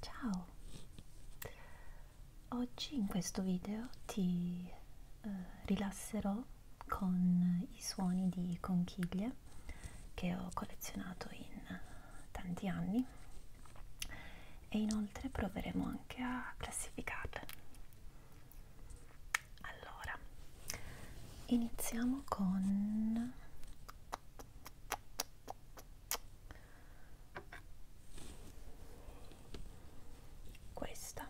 Ciao! Oggi in questo video ti eh, rilasserò con i suoni di conchiglie che ho collezionato in eh, tanti anni e inoltre proveremo anche a classificarle. Allora, iniziamo con questa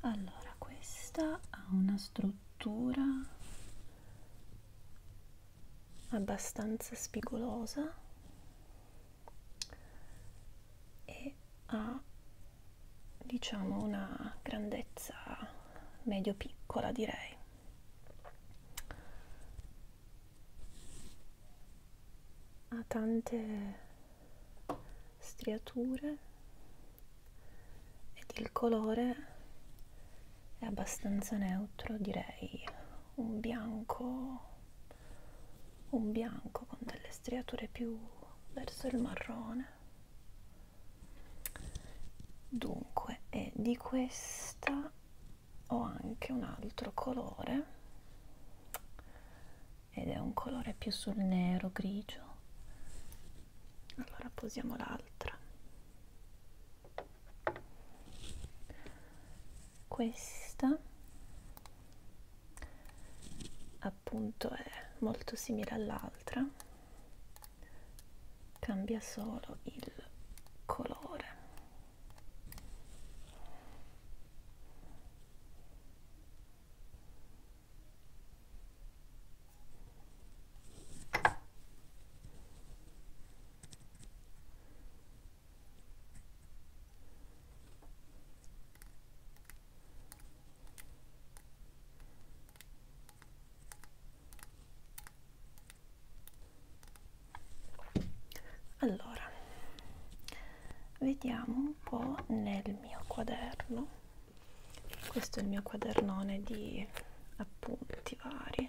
allora, questa ha una struttura abbastanza spigolosa e ha diciamo una grandezza medio piccola direi ha tante striature ed il colore è abbastanza neutro direi un bianco un bianco con delle striature più verso il marrone dunque e di questa ho anche un altro colore ed è un colore più sul nero grigio allora posiamo l'altra questa appunto è molto simile all'altra cambia solo il colore allora, vediamo un po' nel mio quaderno, questo è il mio quadernone di appunti vari.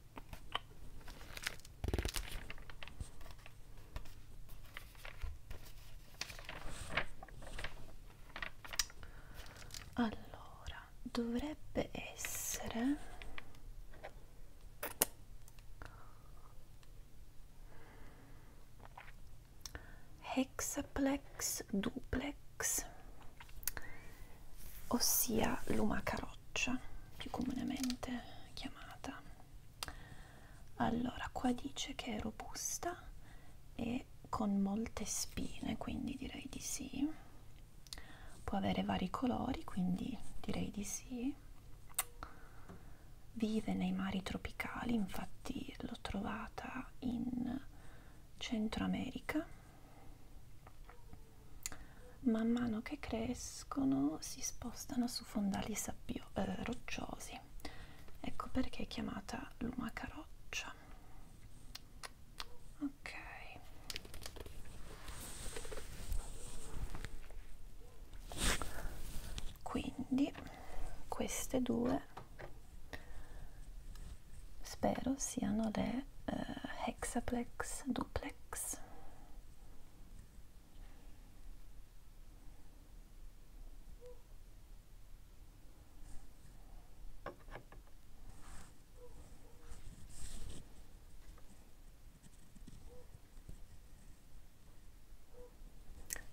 allora dovrebbe essere hexaplex duplex ossia luma caroccia più comunemente chiamata allora qua dice che è robusta e con molte spine quindi direi di sì può avere vari colori quindi direi di sì vive nei mari tropicali infatti l'ho trovata in Centro America man mano che crescono si spostano su fondali sabbio, eh, rocciosi ecco perché è chiamata lumaca roccia ok quindi queste due spero siano le è eh, hexaplex, duplex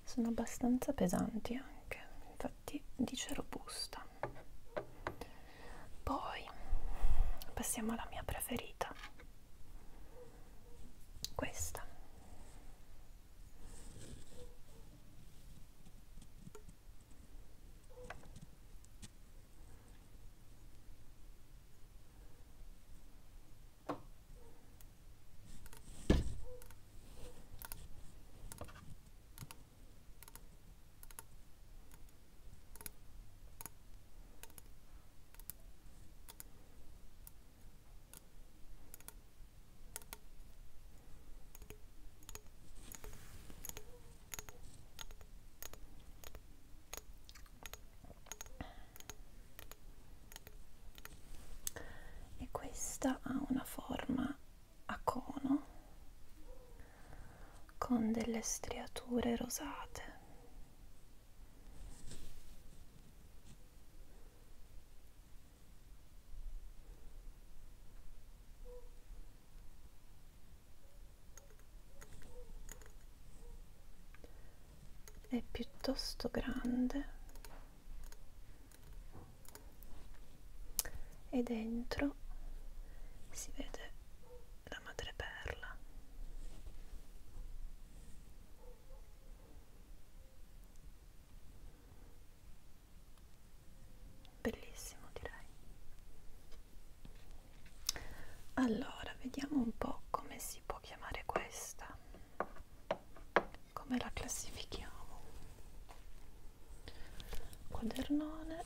sono abbastanza pesanti anche infatti dice robusta poi passiamo alla mia preferita, questa e questa ha una forma a cono con delle striature rosate. È piuttosto grande e dentro si vede la madreperla bellissimo direi allora vediamo un po' come si può chiamare questa come la classifichiamo quadernone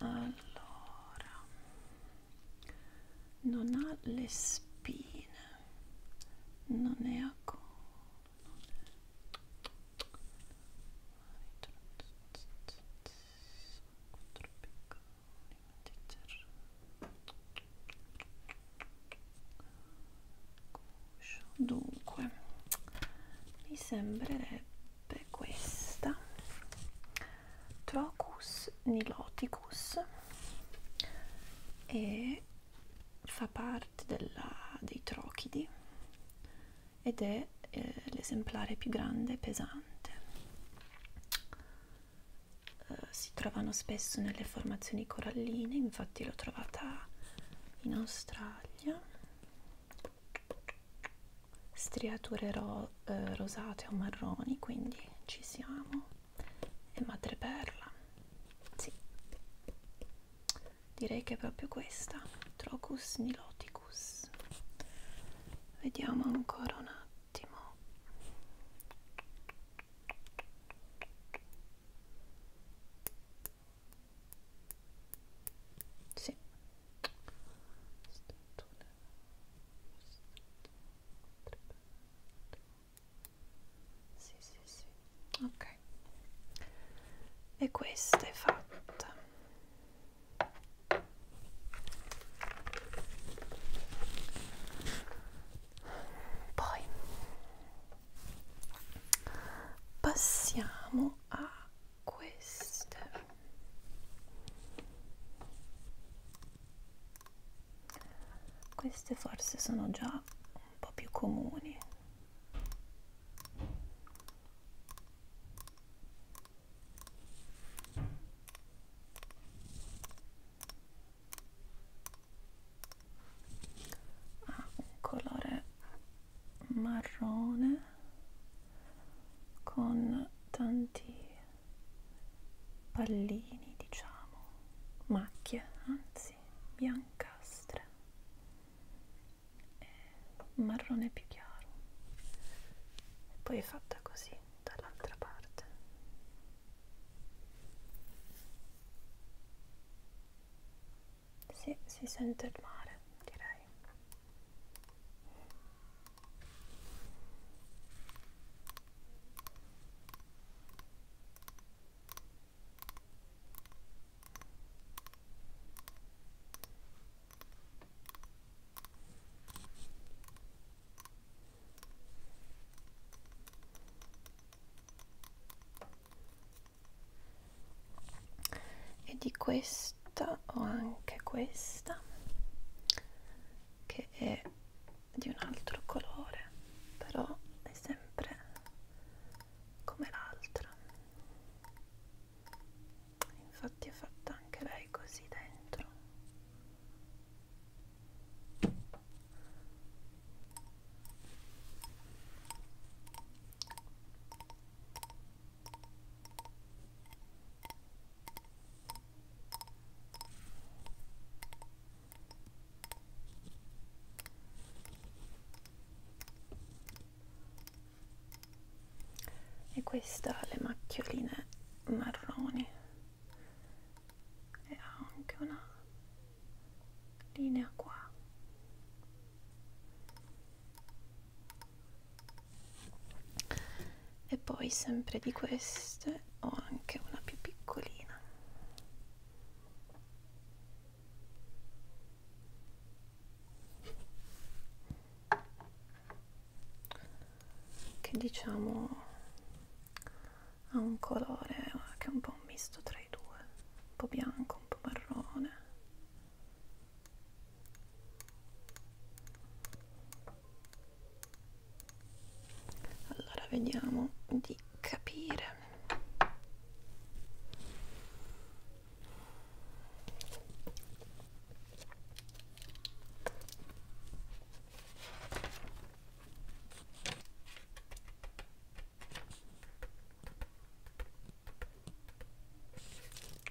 allora non ha le spine non è a collo dunque mi sembrerebbe questa Trochus niloticus e fa parte della, dei trochidi ed è eh, l'esemplare più grande e pesante. Uh, si trovano spesso nelle formazioni coralline, infatti l'ho trovata in Australia striature ro eh, rosate o marroni quindi ci siamo e madreperla sì direi che è proprio questa Trocus niloticus vediamo ancora un attimo sì sì, sì, sì. Ok. E questa è fatta. Poi passiamo a queste queste forse sono già un po' più comuni ha ah, un colore marrone con tanti pallini, diciamo, macchie, anzi, biancastre e marrone più chiaro. E poi è fatta così dall'altra parte. Sì, si sente il mare, direi e di questo questa ho anche questa che è di un altro colore però è sempre come l'altra infatti è fatta anche lei così dentro e questa ha le macchioline marroni e ha anche una linea qua e poi sempre di queste ho anche una più piccolina che diciamo ha un colore che è un po' un misto tra i due un po' bianco un po' marrone allora vediamo di capire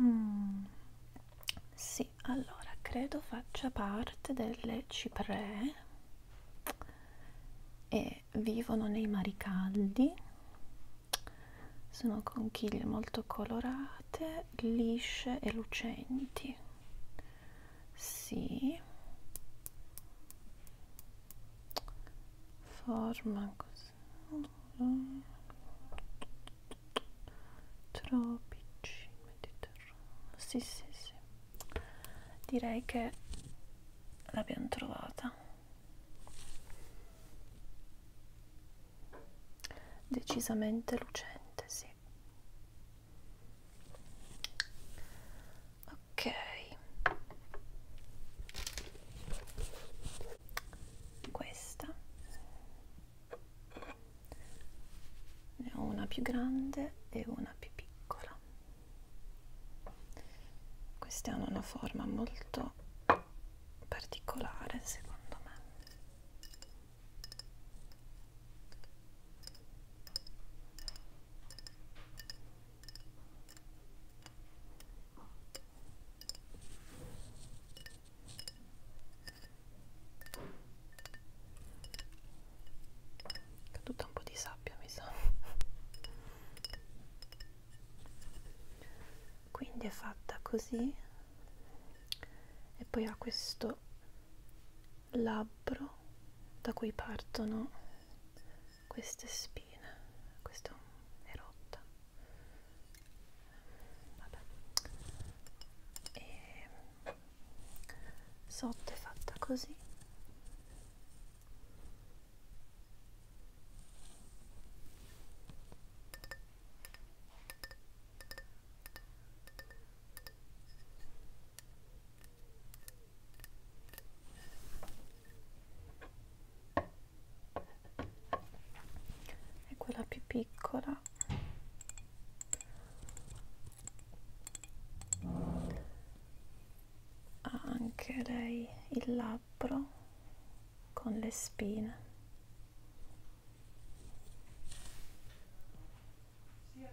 Mm, sì, allora credo faccia parte delle cipree e vivono nei mari caldi. Sono conchiglie molto colorate, lisce e lucenti sì forma così tropici mediterraneo sì sì sì direi che l'abbiamo trovata decisamente lucente sì ok questa ne ho una più grande e una più piccola queste hanno una forma molto particolare secondo me Caduta un po' di sabbia mi sa. Quindi è fatta così e poi ha questo labbro da cui partono queste spine questa è rotta Vabbè. e sotto è fatta così e quella più piccola ha anche lei il labbro con le spine sì,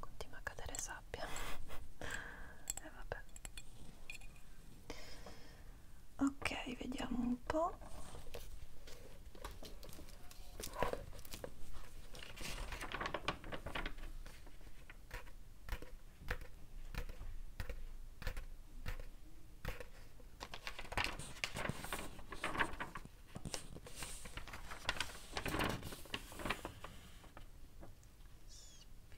Continua a cadere sabbia e eh, vabbè ok vediamo un po' Spero.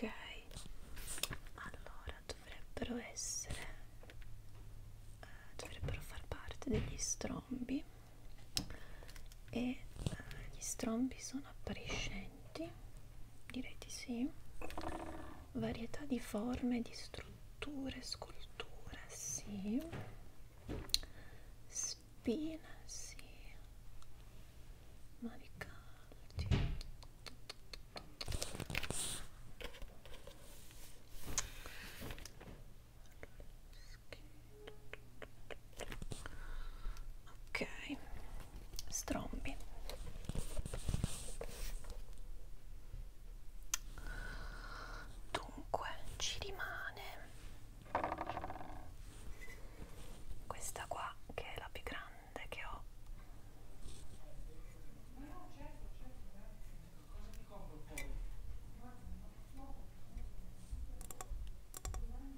Ok, allora dovrebbero essere, eh, dovrebbero far parte degli strombi e eh, gli strombi sono appariscenti oggetti direi di sì varietà di forme di strutture sculture sì spina sì Manicanti. Allora, ok strombi dunque ci rimane questa qua che è la più grande che ho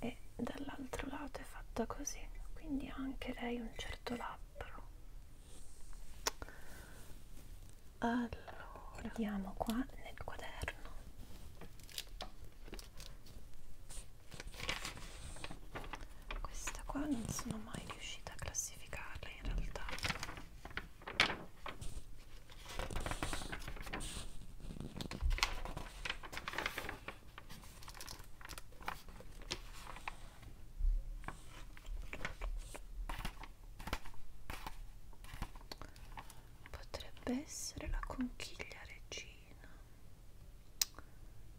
e dall'altro lato è fatta così quindi ha anche lei un certo labbro allora vediamo qua nel quaderno questa qua non sono mai riuscita a classificarla in realtà Potrebbe essere la conchiglia regina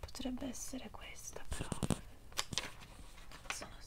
potrebbe essere questa però sono sicura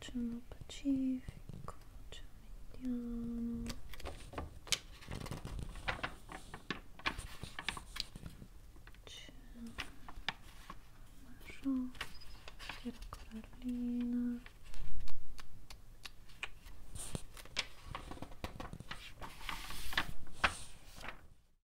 C'è Pacifico, c'è Mediano. C'è Marrosso, c'è la Corallina.